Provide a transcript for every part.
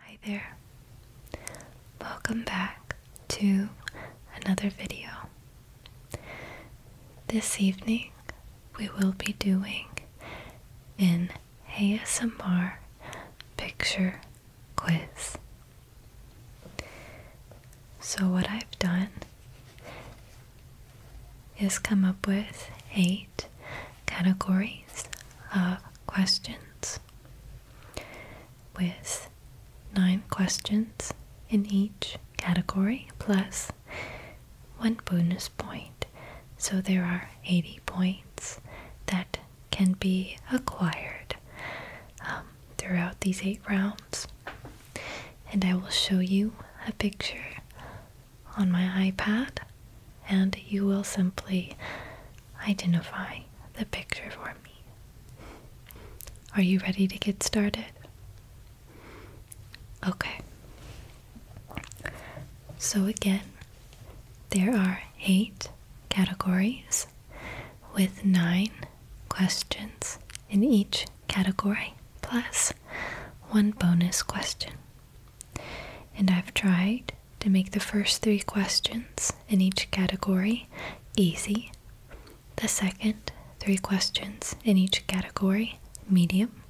Hi there. Welcome back to another video. This evening we will be doing an ASMR picture quiz. So, what I've done is come up with eight categories of questions with nine questions in each category plus one bonus point. So there are 80 points that can be acquired um, throughout these eight rounds. And I will show you a picture on my iPad and you will simply identify the picture for me. Are you ready to get started? Okay. So, again, there are eight categories with nine questions in each category, plus one bonus question. And I've tried to make the first three questions in each category easy, the second three questions in each category medium,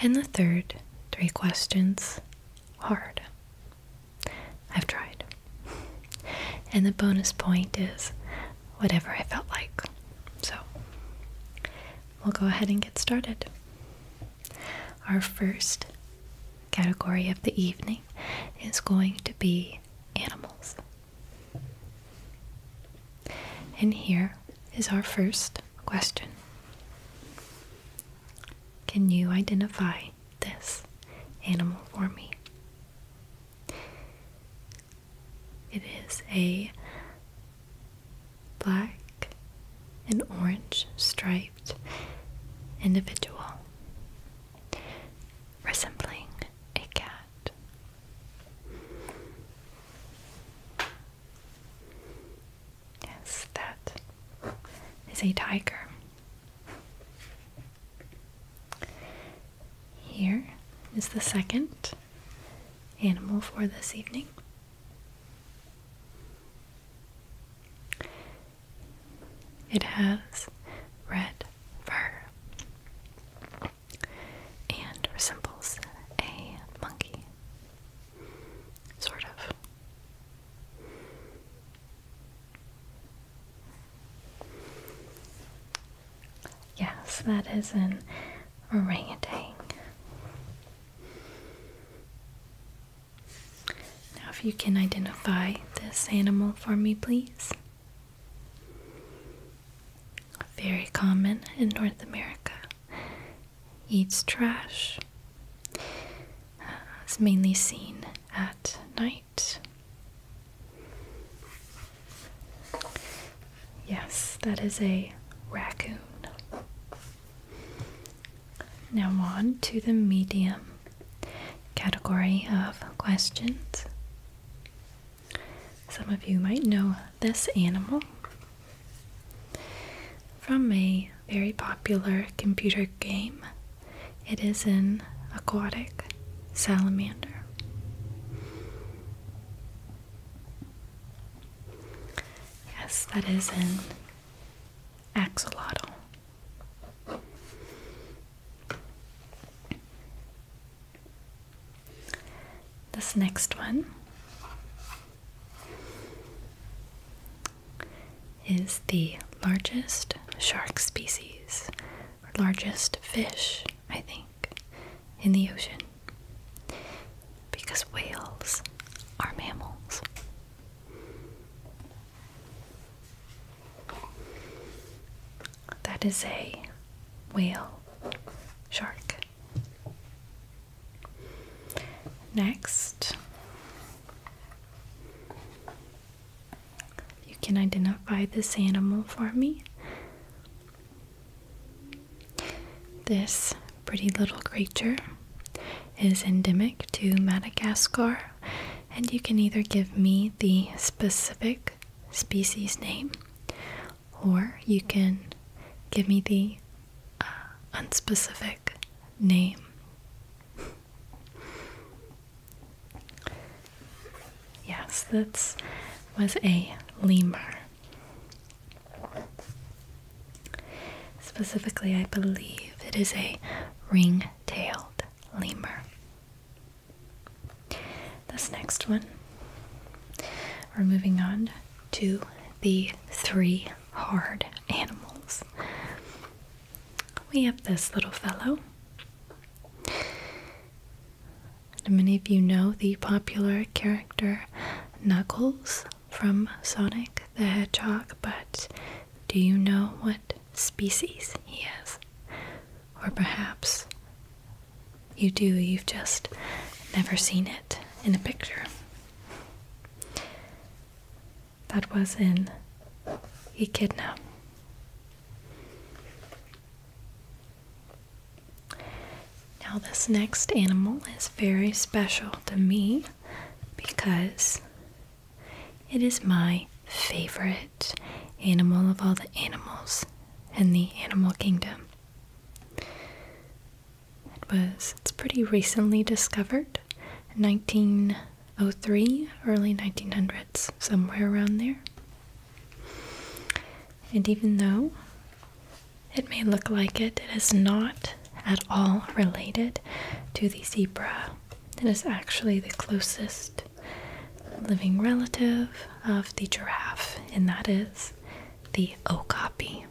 and the third three questions hard. I've tried. And the bonus point is whatever I felt like. So we'll go ahead and get started. Our first category of the evening is going to be animals. And here is our first question Can you identify this animal for me? It is a black and orange stripe individual resembling a cat. Yes, that is a tiger. Here is the second animal for this evening. It has red fur and resembles a monkey. Sort of. Yes, that is an orangutan. Now, if you can identify this animal for me, please. Very common in North America. Eats trash. Uh, it's mainly seen at night. Yes, that is a raccoon. Now, on to the medium category of questions. Some of you might know this animal from a very popular computer game. It is an aquatic salamander. Yes, that is an axolotl. This next one is the largest shark species, or largest fish, I think, in the ocean. Because whales are mammals. That is a whale shark. Next, you can identify this animal for me. This pretty little creature is endemic to Madagascar and you can either give me the specific species name or you can give me the uh, unspecific name. yes, this was a lemur. Specifically, I believe it is a ring tailed lemur. This next one, we're moving on to the three hard animals. We have this little fellow. Many of you know the popular character Knuckles from Sonic the Hedgehog, but do you know what species he is? Or perhaps you do, you've just never seen it in a picture. That was in Echidna. Now, this next animal is very special to me because it is my favorite animal of all the animals in the animal kingdom. It was it's pretty recently discovered, 1903, early 1900s, somewhere around there. And even though it may look like it, it is not at all related to the zebra it is actually the closest living relative of the giraffe, and that is the okapi.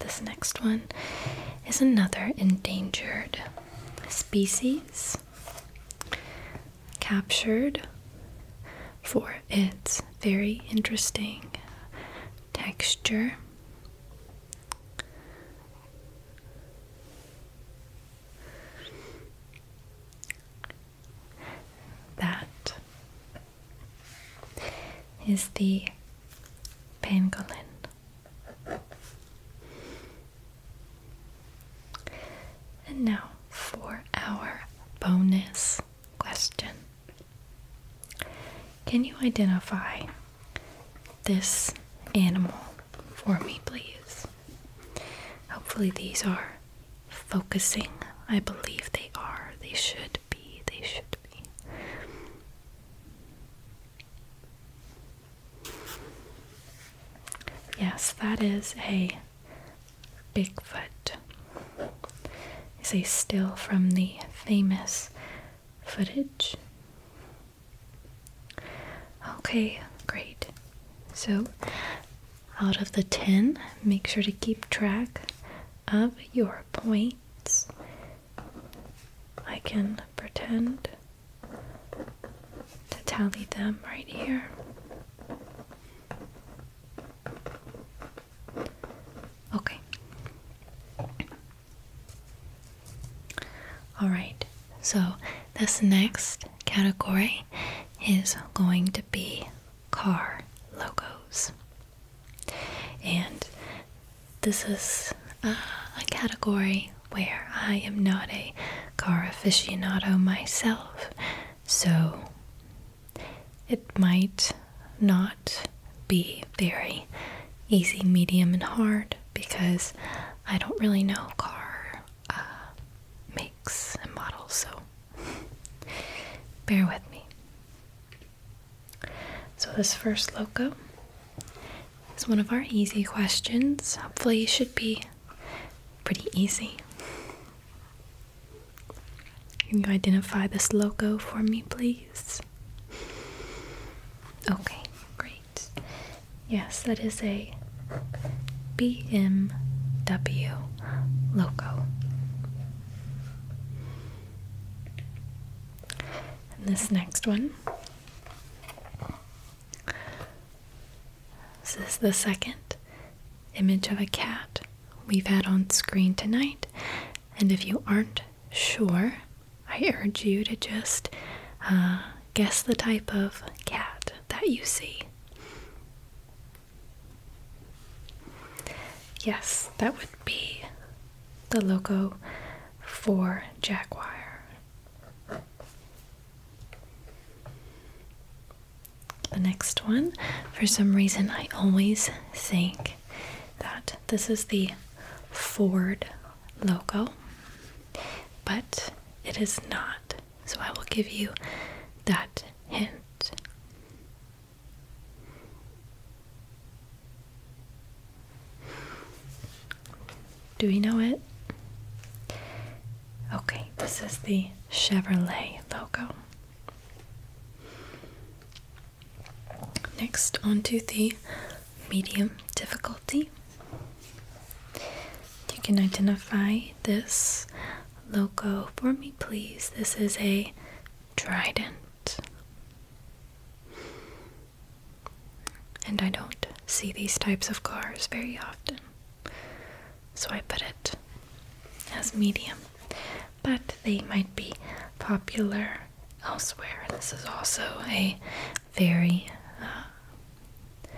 This next one is another endangered species captured for its very interesting texture. That is the pangolin. And now for our bonus question. Can you identify this animal for me, please? Hopefully, these are focusing. I believe they are. They should be. They should be. Yes, that is a Bigfoot. Is a still from the famous footage. Okay, great. So, out of the 10, make sure to keep track of your points. I can pretend to tally them right here. Okay. All right. So, this next category is going to be car logos. And this is uh, a category where I am not a car aficionado myself, so it might not be very easy, medium, and hard because I don't really know car uh, makes and models, so bear with me. So, this first logo is one of our easy questions. Hopefully, it should be pretty easy. Can you identify this logo for me, please? Okay, great. Yes, that is a BMW logo. And this next one. This is the second image of a cat we've had on screen tonight, and if you aren't sure, I urge you to just uh, guess the type of cat that you see. Yes, that would be the logo for Jaguar. The next one, for some reason, I always think that this is the Ford logo, but it is not. So I will give you that hint. Do we know it? Okay, this is the Chevrolet logo. Next, onto the medium difficulty. You can identify this logo for me, please. This is a trident. And I don't see these types of cars very often, so I put it as medium. But they might be popular elsewhere. This is also a very uh,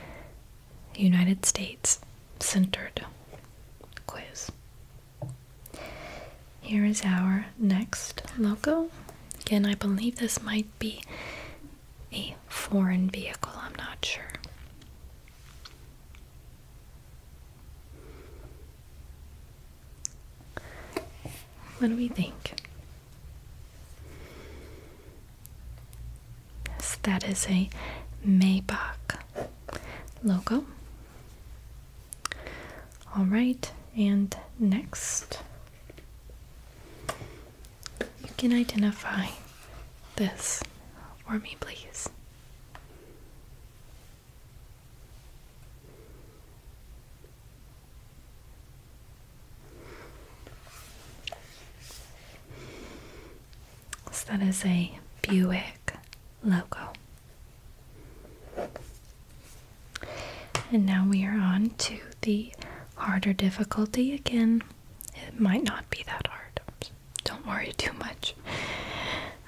United States centered quiz. Here is our next logo. Again, I believe this might be a foreign vehicle, I'm not sure. What do we think? that is a Maybach logo. All right, and next, you can identify this for me, please. So that is a Buick logo. And now we are on to the harder difficulty again. It might not be that hard. Don't worry too much.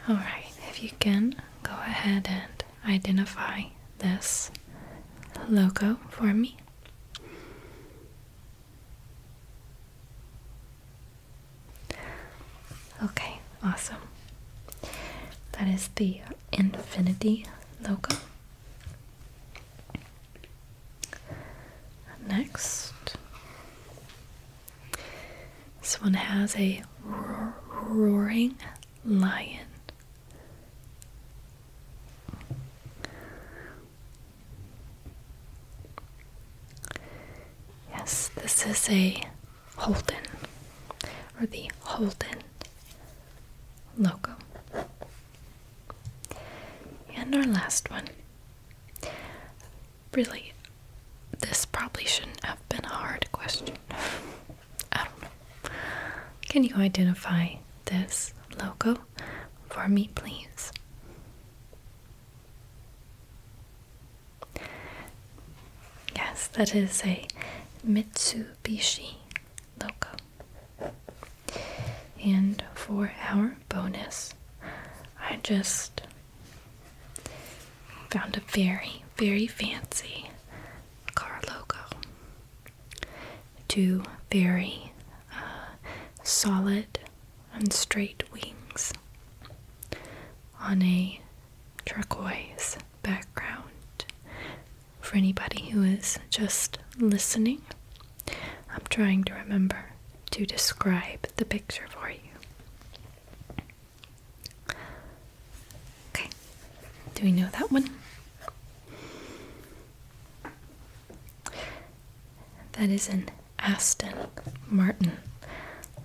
Alright, if you can, go ahead and identify this logo for me? Okay, awesome. That is the infinity logo. Next, this one has a roaring lion Yes, this is a Holden or the Holden logo. And our last one. Really, this probably shouldn't have been a hard question. Can you identify this logo for me, please? Yes, that is a Mitsubishi logo. And for our bonus, I just found a very, very fancy car logo. Two very uh, solid and straight wings on a turquoise background. For anybody who is just listening, I'm trying to remember to describe the picture for you. Okay, do we know that one? That is an Aston Martin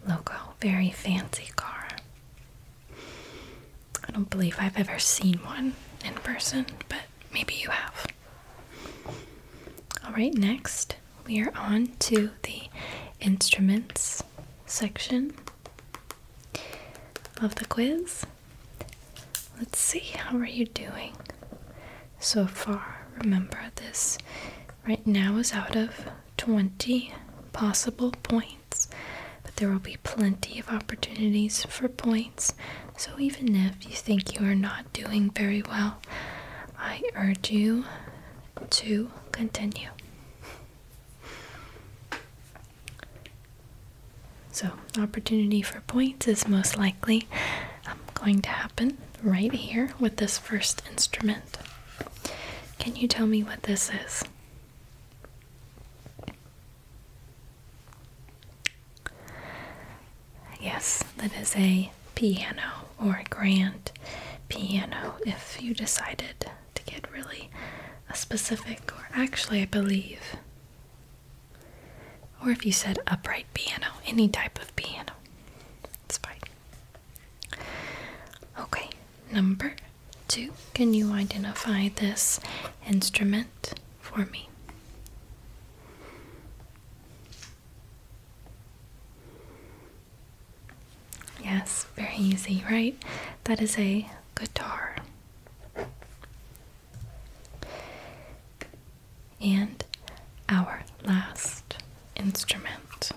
logo. Very fancy car. I don't believe I've ever seen one in person, but maybe you have. Alright, next we are on to the instruments section of the quiz. Let's see, how are you doing so far? Remember, this right now is out of 20 possible points, but there will be plenty of opportunities for points. So, even if you think you are not doing very well, I urge you to continue. So, opportunity for points is most likely um, going to happen right here with this first instrument. Can you tell me what this is? Yes, that is a piano or a grand piano if you decided to get really a specific, or actually, I believe, or if you said upright piano, any type of piano, it's fine. Okay, number two, can you identify this instrument for me? Yes, very easy, right? That is a guitar. And our last instrument,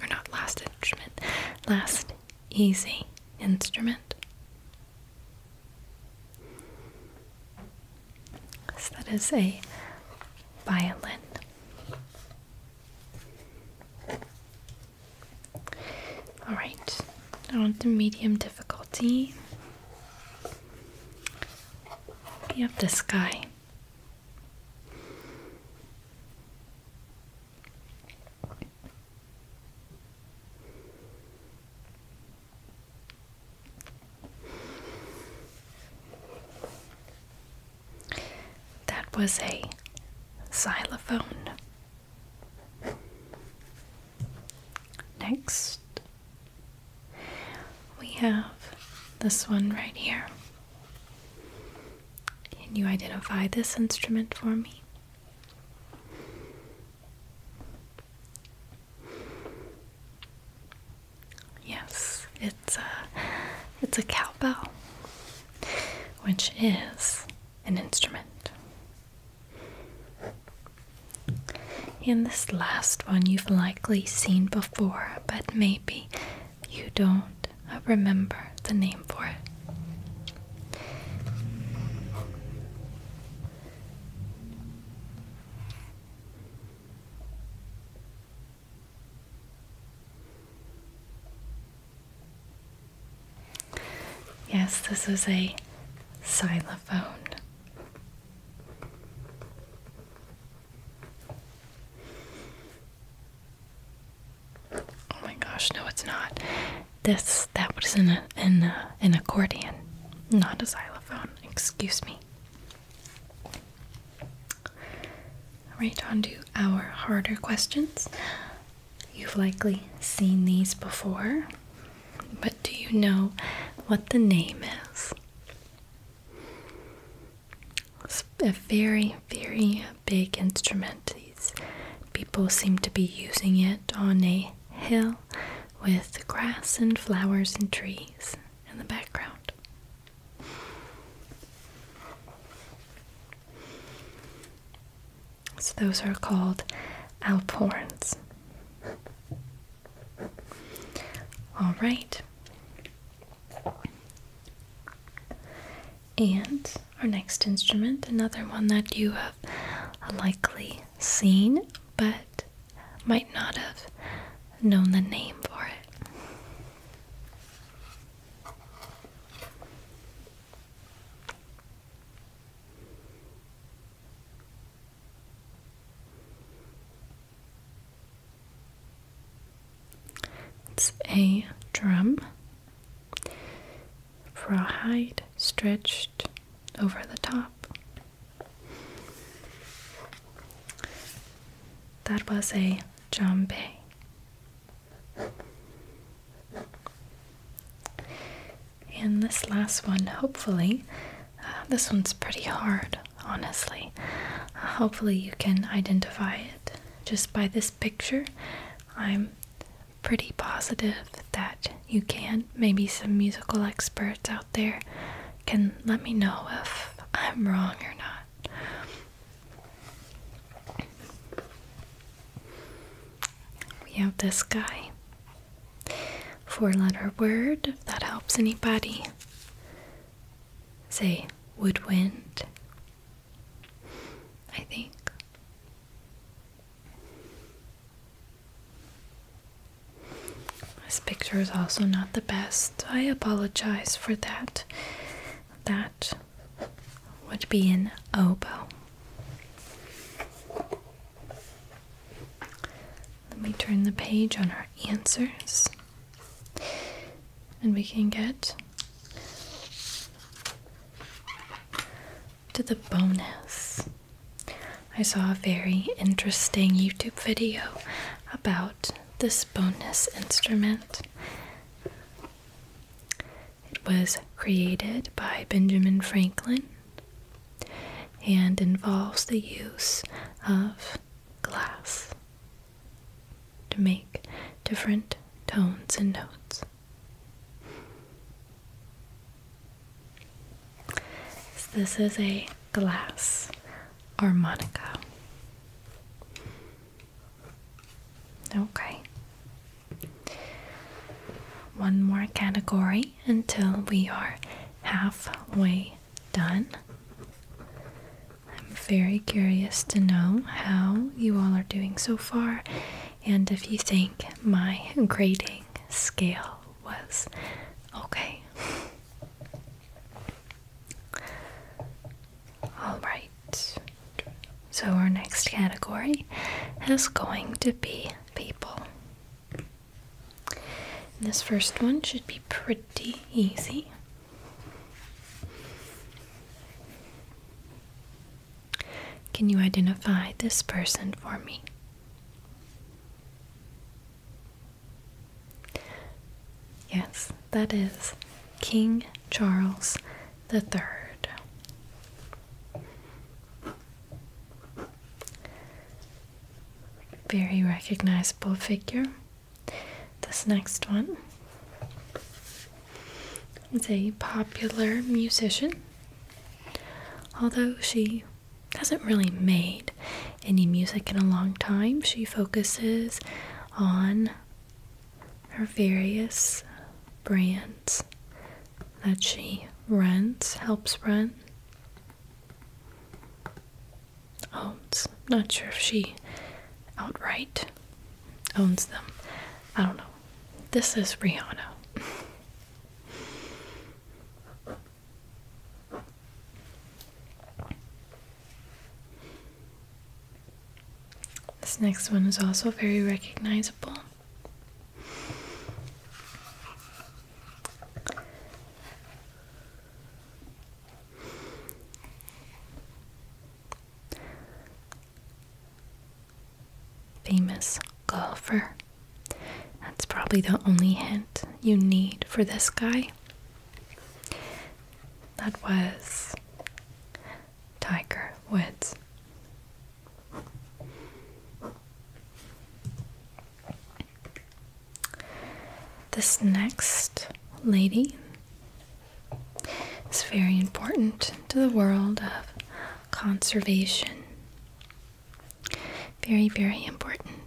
or not last instrument, last easy instrument. So that is a violin. Alright, I want the medium difficulty. You have the sky. That was a xylophone. Next, we have this one right here. Can you identify this instrument for me? Yes, it's a it's a cowbell which is an instrument. In this last one you've likely seen before, but maybe you don't remember the name for it. Yes, this is a xylophone. Oh my gosh, no, it's not. This that was in a, an accordion, not a xylophone. Excuse me. Right on to our harder questions. You've likely seen these before, but do you know what the name is? It's a very, very big instrument. These people seem to be using it on a hill with grass and flowers and trees in the background. So those are called alporins. All right. And our next instrument, another one that you have likely seen but might not have known the name for it. It's a drum, rawhide stretched over the top. That was a djembe. And this last one, hopefully, uh, this one's pretty hard, honestly. Uh, hopefully, you can identify it just by this picture. I'm pretty positive that you can. Maybe some musical experts out there can let me know if I'm wrong or not. We have this guy. Four letter word, if that helps anybody. Say woodwind, I think. This picture is also not the best. I apologize for that. That would be an oboe. Let me turn the page on our answers and we can get to the bonus. I saw a very interesting YouTube video about this bonus instrument. It was created by Benjamin Franklin and involves the use of glass to make different tones and notes. So this is a glass harmonica. Okay. One more category until we are halfway done. I'm very curious to know how you all are doing so far and if you think my grading scale was okay. All right. So our next category is going to be people. this first one should be pretty easy. Can you identify this person for me? Yes, that is King Charles the third. Very recognizable figure. This next one is a popular musician, although she hasn't really made any music in a long time. She focuses on her various brands that she runs, helps run, owns. Not sure if she outright owns them. I don't know. This is Rihanna. This next one is also very recognizable. Famous golfer. That's probably the only hint you need for this guy. That was Tiger Woods. This next lady is very important to the world of conservation. Very, very important.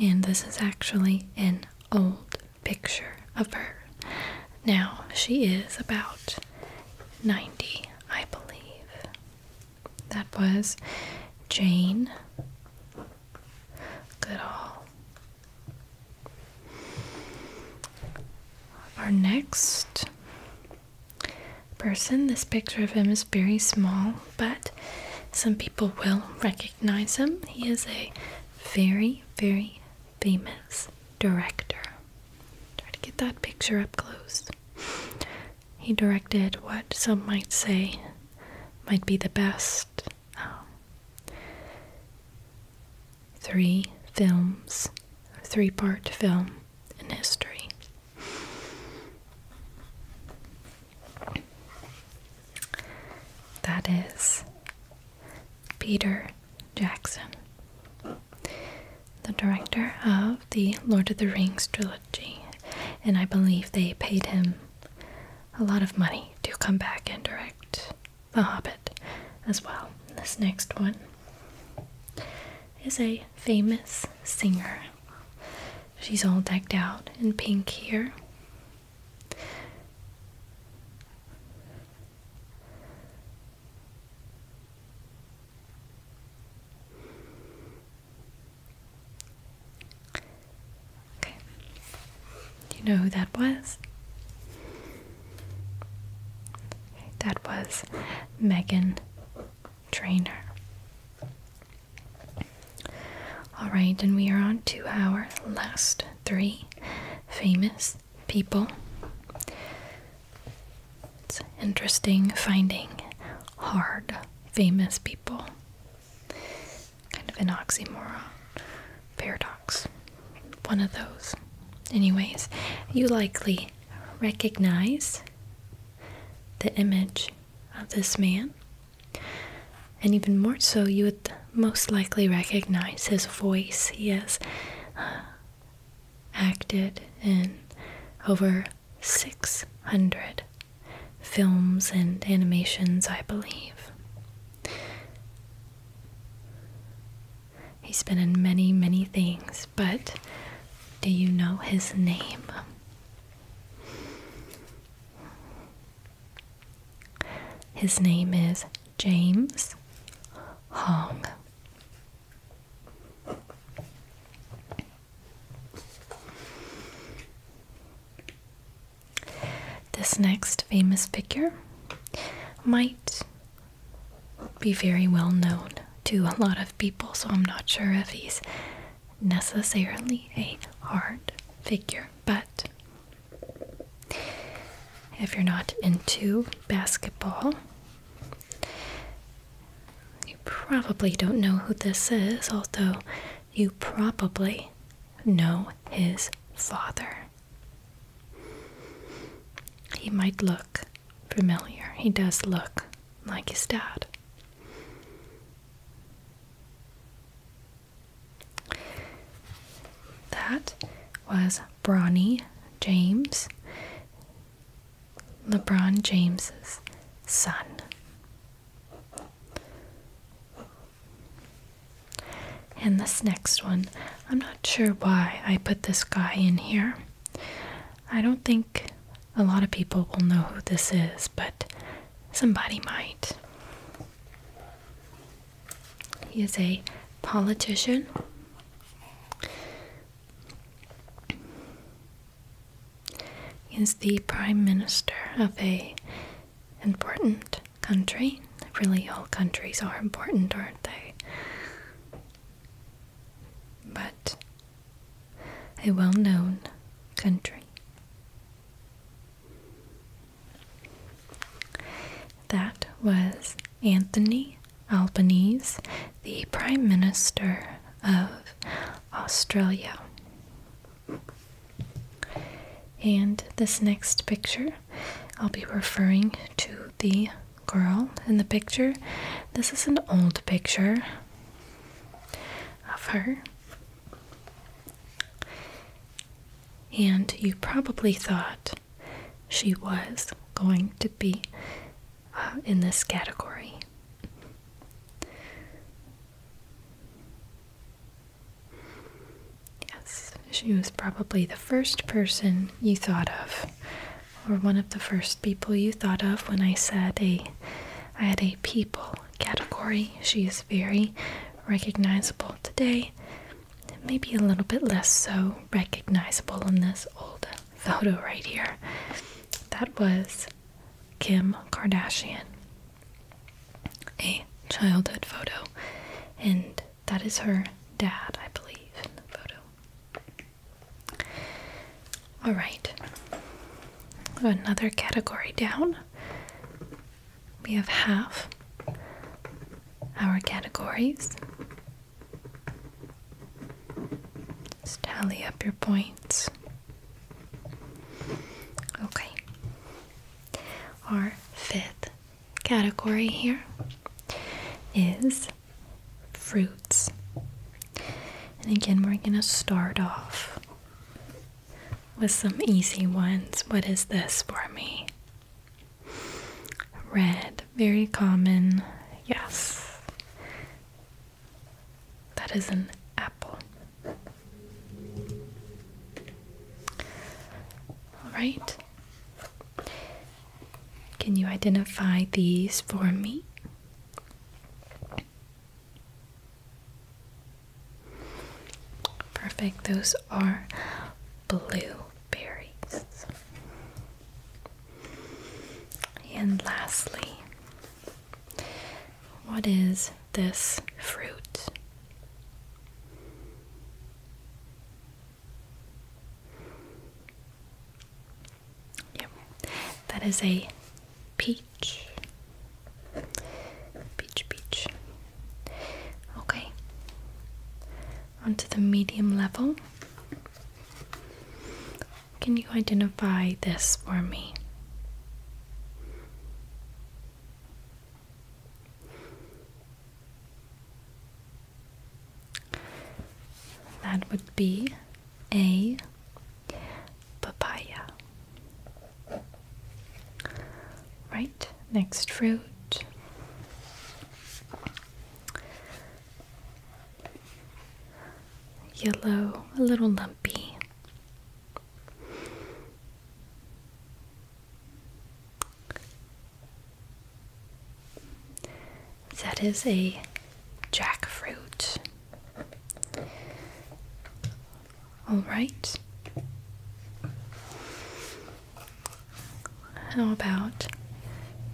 And this is actually an old picture of her. Now, she is about 90, I believe. That was Jane Goodall. Our next person, this picture of him is very small, but some people will recognize him. He is a very, very famous director. Try to get that picture up close. He directed what some might say might be the best um, three films, three part film in history. That is Peter Jackson, the director of the Lord of the Rings trilogy, and I believe they paid him a lot of money to come back and direct The Hobbit as well. This next one is a famous singer. She's all decked out in pink here. Okay. Do you know who that was? that was Megan Trainer. All right, and we are on to our last three famous people. It's interesting finding hard, famous people. Kind of an oxymoron, paradox. One of those. Anyways, you likely recognize the image of this man, and even more so, you would most likely recognize his voice. He has uh, acted in over 600 films and animations, I believe. He's been in many, many things, but do you know his name? His name is James Hong. This next famous figure might be very well known to a lot of people, so I'm not sure if he's necessarily a hard figure, but if you're not into basketball, you probably don't know who this is, although you probably know his father. He might look familiar. He does look like his dad. That was Bronny James, LeBron James's son. And this next one, I'm not sure why I put this guy in here. I don't think a lot of people will know who this is, but somebody might. He is a politician. He is the prime minister of a important country. Really, all countries are important, aren't they? But a well known country. That was Anthony Albanese, the Prime Minister of Australia. And this next picture, I'll be referring to the girl in the picture. This is an old picture of her and you probably thought she was going to be uh, in this category. Yes, she was probably the first person you thought of, or one of the first people you thought of when I said a I had a people category. She is very recognizable today maybe a little bit less so recognizable in this old photo right here. That was Kim Kardashian, a childhood photo, and that is her dad, I believe, in the photo. All right, another category down. We have half our categories. Just tally up your points. Okay. Our fifth category here is fruits. And again, we're going to start off with some easy ones. What is this for me? Red very common. Yes. That is an apple. All right. Can you identify these for me? Perfect. Those are blue berries. And lastly, what is this fruit? Yep, that is a peach. Peach, peach. Okay onto the medium level. Can you identify this for me? That would be a papaya. Right, next fruit. Yellow, a little lumpy. That is a jackfruit. All right. How about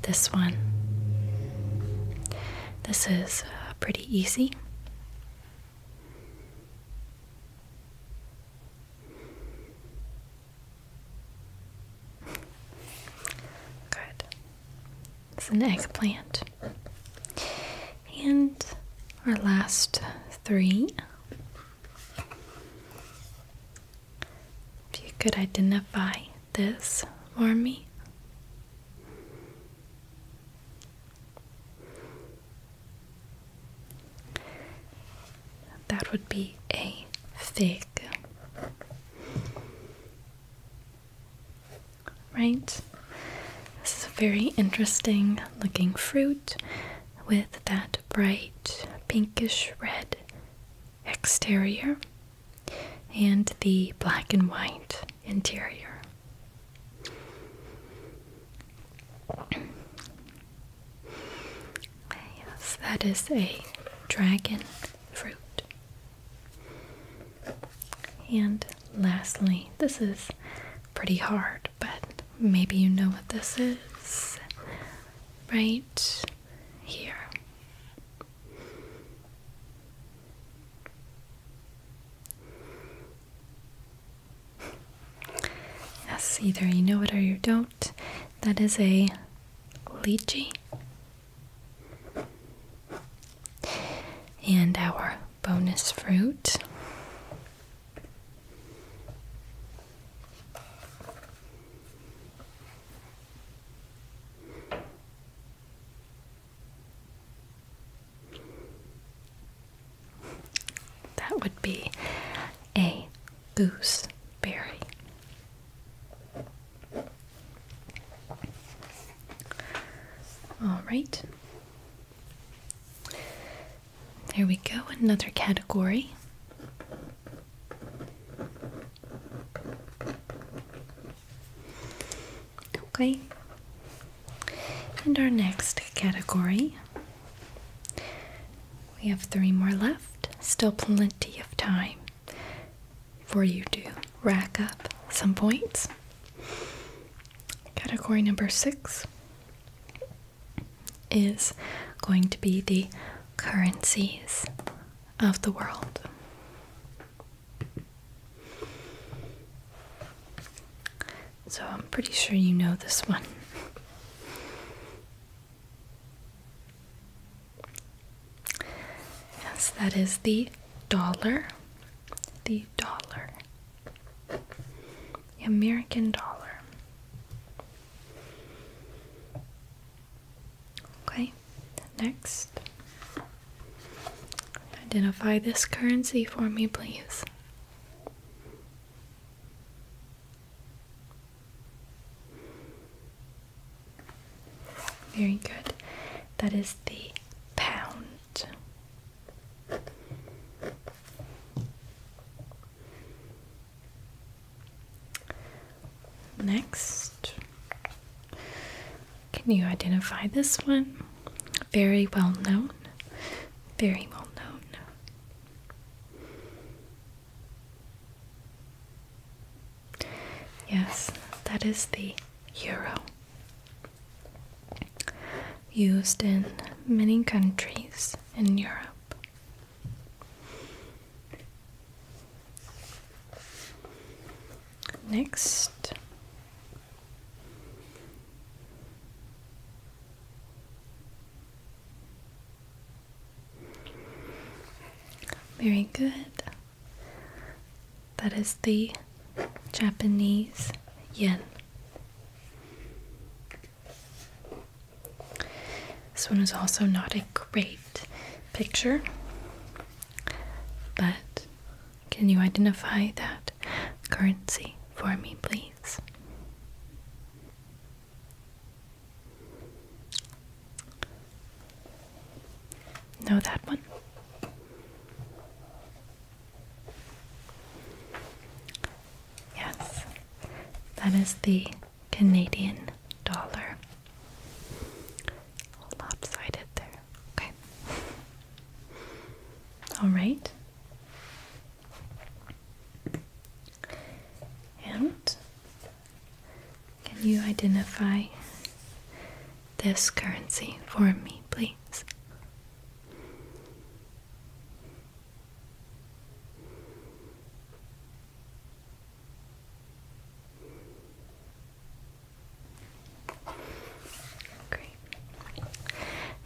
this one? This is uh, pretty easy. Good. It's an eggplant. And our last three if you could identify this for me. That would be a fig. Right? This is a very interesting looking fruit with that bright pinkish red exterior and the black and white interior. Yes, that is a dragon fruit. And lastly, this is pretty hard, but maybe you know what this is, right? here. Yes, either you know it or you don't. That is a lychee. And our bonus fruit that would be a gooseberry. All right. There we go, another category. Okay, and our next category. We have three more left, still plenty of time for you to rack up some points. Category number six is going to be the currencies of the world. So I'm pretty sure you know this one. Yes, that is the dollar. The dollar. The American dollar. Okay, next. Identify this currency for me, please. Very good. That is the pound. Next, can you identify this one? Very well known. Very well known. Yes, that is the euro. Used in many countries in Europe. Next. Very good. That is the Japanese yen. This one is also not a great picture, but can you identify that currency for me, please? Know that one? Yes, that is the Canadian dollar. Lopsided there. Okay. All right. And can you identify this currency for me, please? Great.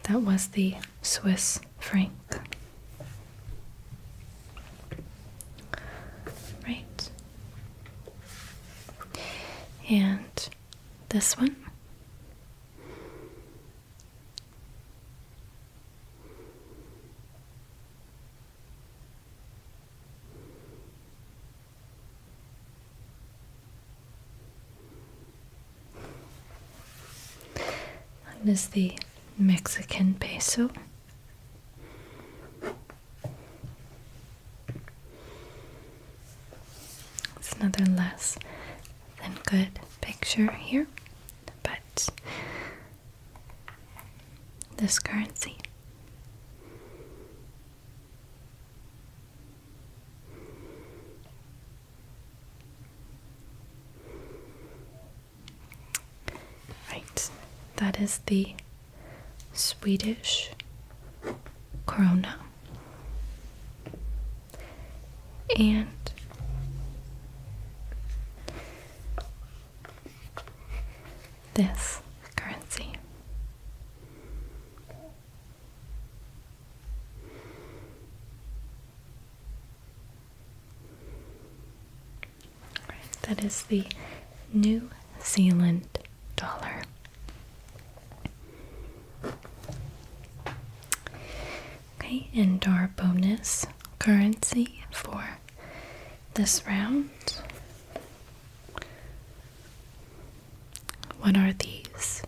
That was the Swiss franc. Right. And this one. That is the Mexican peso. It's another less than good picture here, but this currency. Right, that is the Swedish krona, And this currency. that is the New Zealand dollar. Okay, and our bonus currency for this round. What are these?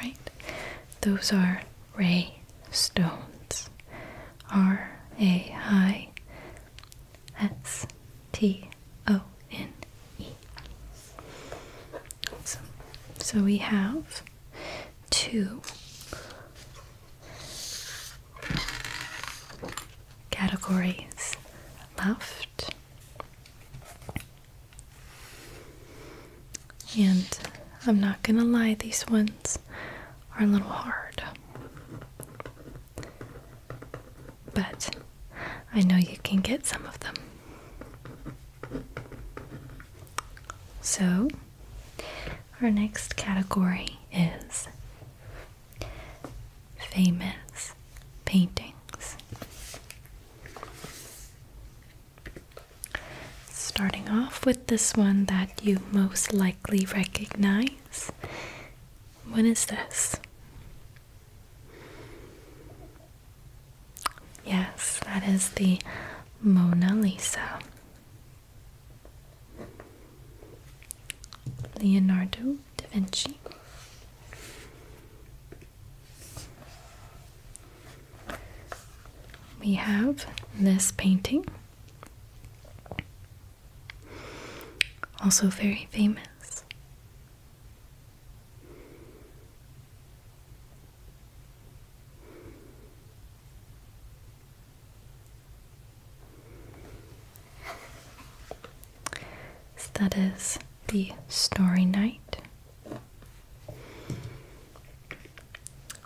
right, those are ray stones. R A I S T O N E. Awesome. So we have two categories left. And I'm not going to lie, these ones are a little hard but I know you can get some of them. So, our next category is famous paintings. Starting off with this one that you most likely recognize. What is this? Yes, that is the Mona Lisa. Leonardo da Vinci. We have this painting, also very famous that is the Story Night.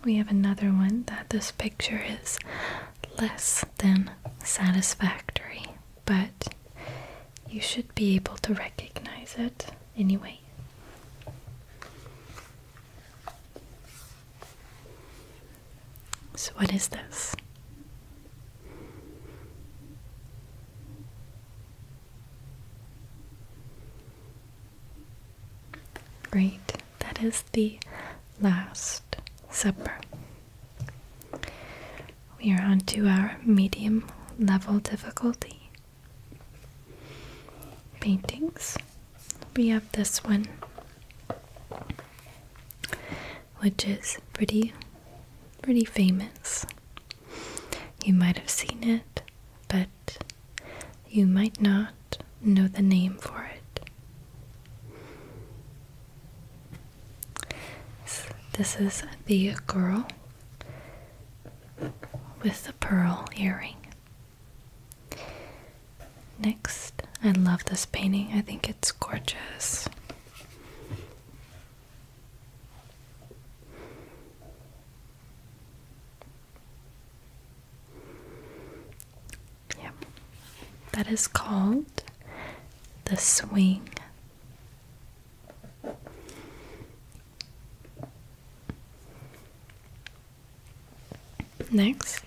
We have another one that this picture is less than satisfactory but you should be able to recognize it anyway. So, what is this? Great, that is the Last Supper. We are on to our medium level difficulty. Paintings. We have this one, which is pretty, pretty famous. You might have seen it, but you might not know the name for it. This is the girl with the pearl earring. Next, I love this painting, I think it's gorgeous. Yeah. That is called The Swing Next,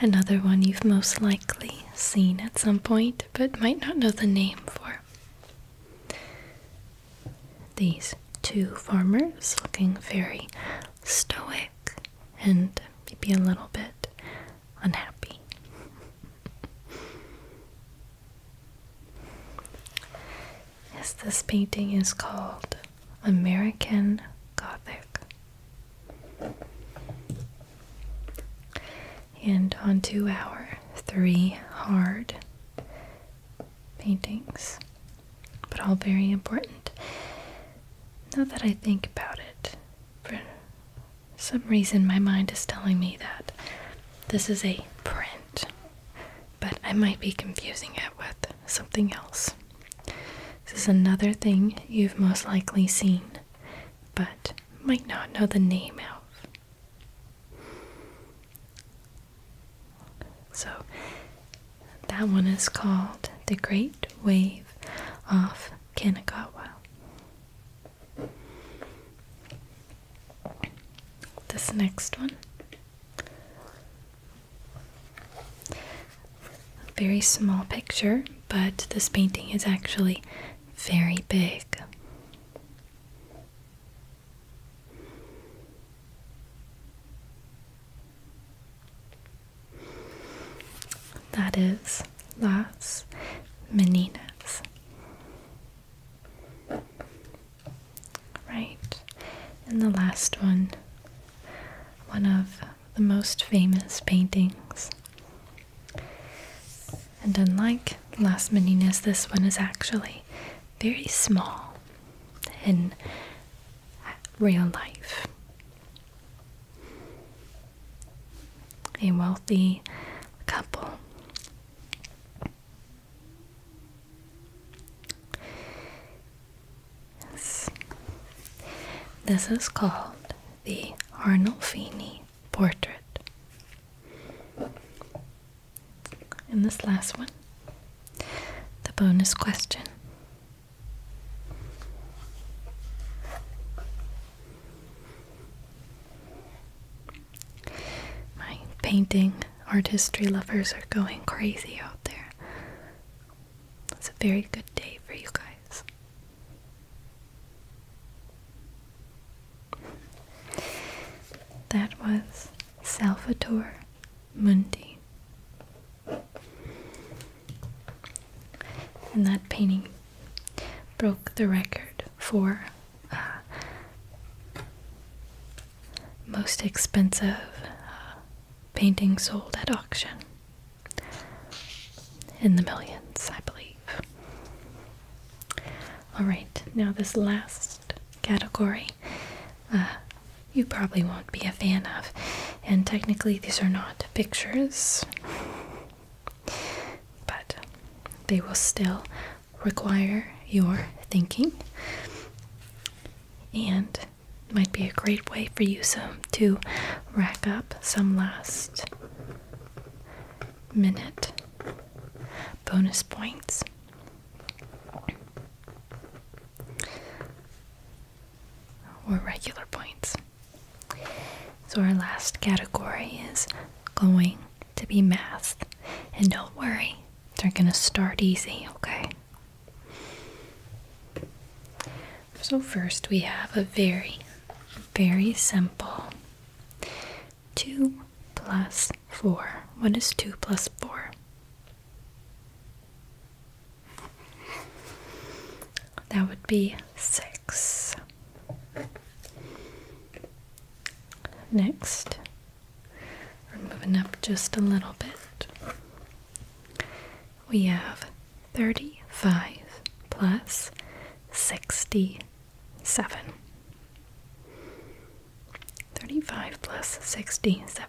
another one you've most likely seen at some point but might not know the name for. These two farmers looking very stoic and maybe a little bit unhappy. Yes, this painting is called American Gothic. And on to our three hard paintings, but all very important. Now that I think about it, for some reason my mind is telling me that this is a print but I might be confusing it with something else. This is another thing you've most likely seen, but might not know the name of. So, that one is called the Great Wave off Kanagawa. This next one. very small picture, but this painting is actually very big. That is Las Meninas. Right. And the last one, one of the most famous paintings. And unlike Las Meninas, this one is actually very small in real life. A wealthy couple this is called the Arnolfini portrait. And this last one, the bonus question. My painting art history lovers are going crazy out there. It's a very good day for you guys. That was Salvator Mundi. And that painting broke the record for uh, most expensive uh, painting sold at auction in the millions, I believe. All right, now this last category uh, you probably won't be a fan of, and technically these are not pictures, but they will still require your thinking and might be a great way for you to rack up some last minute bonus points. Or regular points. So, our last category is going to be math. And don't worry, they're going to start easy, okay? So, first we have a very, very simple 2 plus 4. What is 2 plus 4? That would be 6. Next, we're moving up just a little bit. We have 35 plus 67. 35 plus 67.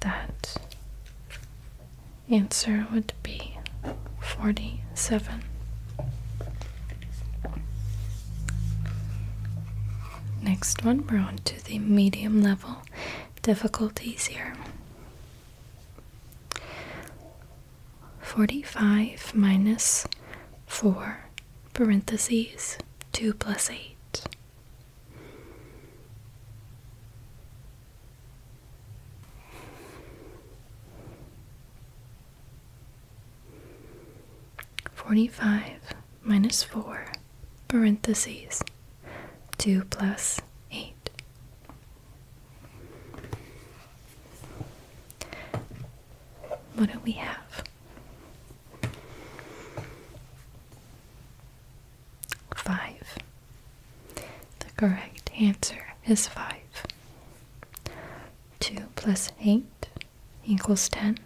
That answer would be 47. Next one, we're on to the medium level difficulties here. 45 minus 4 parentheses 2 plus 8. Forty five minus four parentheses two plus eight. What do we have? Five. The correct answer is five. Two plus eight equals ten.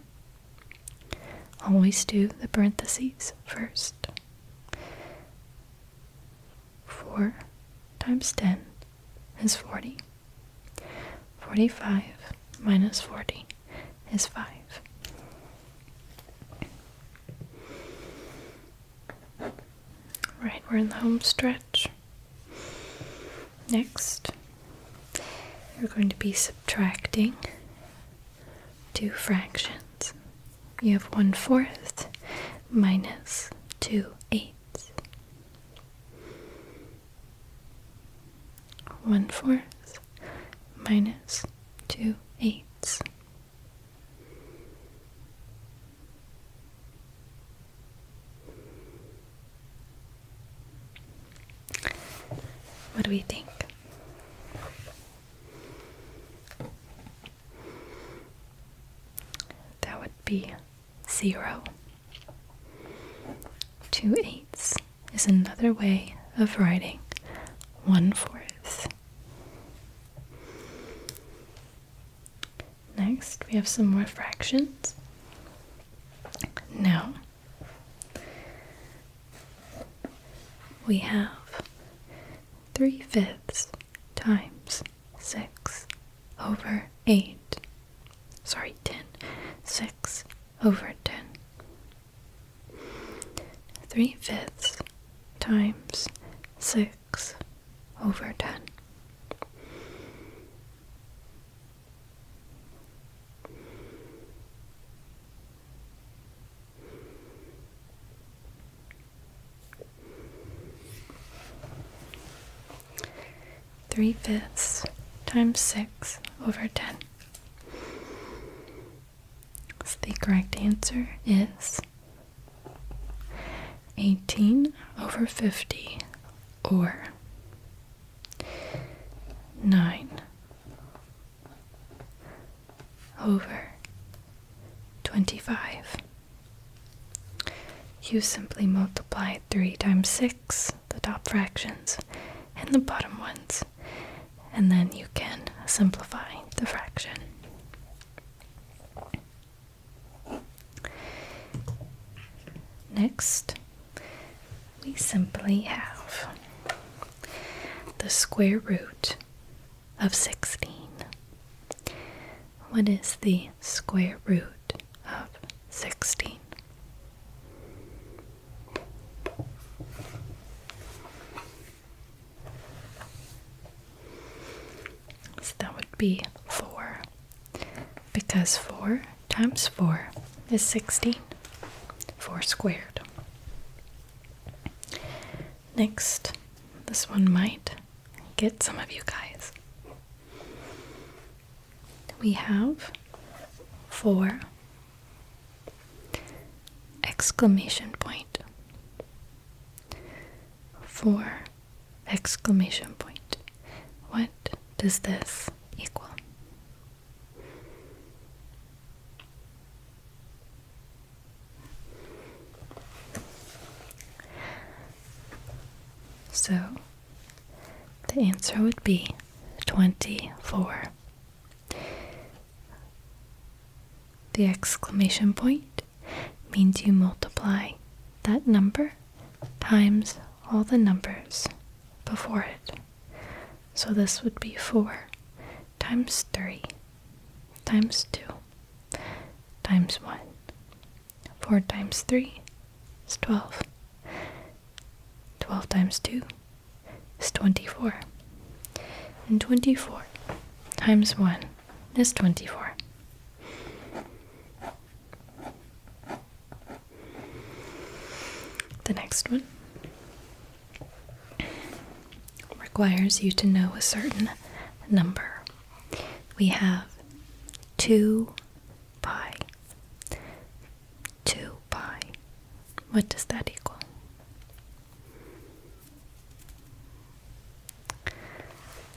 Always do the parentheses first. Four times ten is forty. Forty five minus 40 is 5. Right, we're in the home stretch. Next, we're going to be subtracting two fractions. You have 1 fourth minus 2 eighths one fourth minus two eighths. What do we think? That would be zero, two eighths is another way of writing one fourth. Next, we have some more fractions. Now, we have three fifths times six over eight. Sorry, ten. Six over ten. 3 fifths times 6 over 10. Three fifths times six over ten the correct answer is 18 over 50 or 9 over 25. You simply multiply 3 times 6, the top fractions, and the bottom ones. And then you can simplify the fraction. Next, we simply have the square root of 16. What is the square root of 16? So that would be 4 because 4 times 4 is 16. 4 squared. Next, this one might get some of you guys. We have 4 exclamation point four exclamation point what does this equal so the answer would be 24 the exclamation point means you multiply that number times all the numbers before it. So this would be 4 times 3 times 2 times 1. 4 times 3 is 12. 12 times 2 is 24. And 24 times 1 is 24. The next one requires you to know a certain number. We have 2 pi. 2 pi. What does that equal?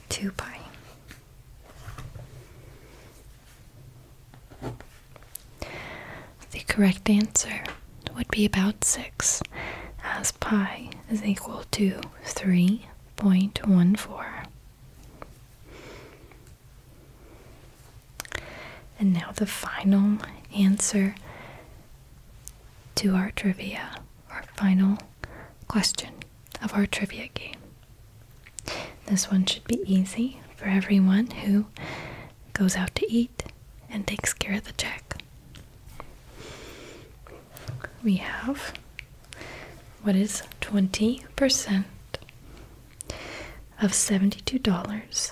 Two pi. The correct answer would be about six, as pi is equal to three point one four. And now the final answer to our trivia, our final question of our trivia game. This one should be easy for everyone who goes out to eat and takes care of the check. We have what is 20% of $72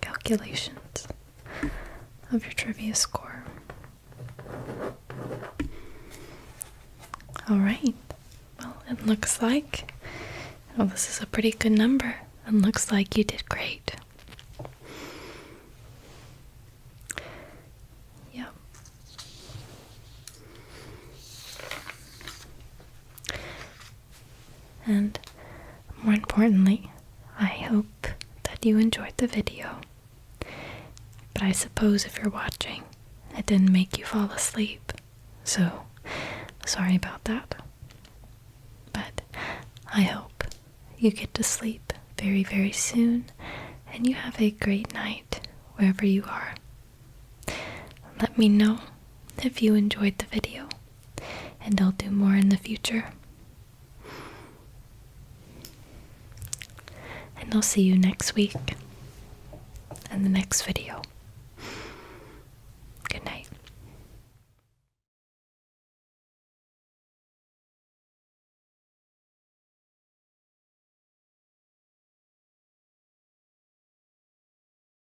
calculations of your trivia score. Alright, well, it looks like well, this is a pretty good number, and looks like you did great. Yeah. And more importantly, I hope that you enjoyed the video. But I suppose if you're watching, it didn't make you fall asleep. So, sorry about that. But I hope you get to sleep very, very soon and you have a great night wherever you are. Let me know if you enjoyed the video and I'll do more in the future. And I'll see you next week in the next video. Good night.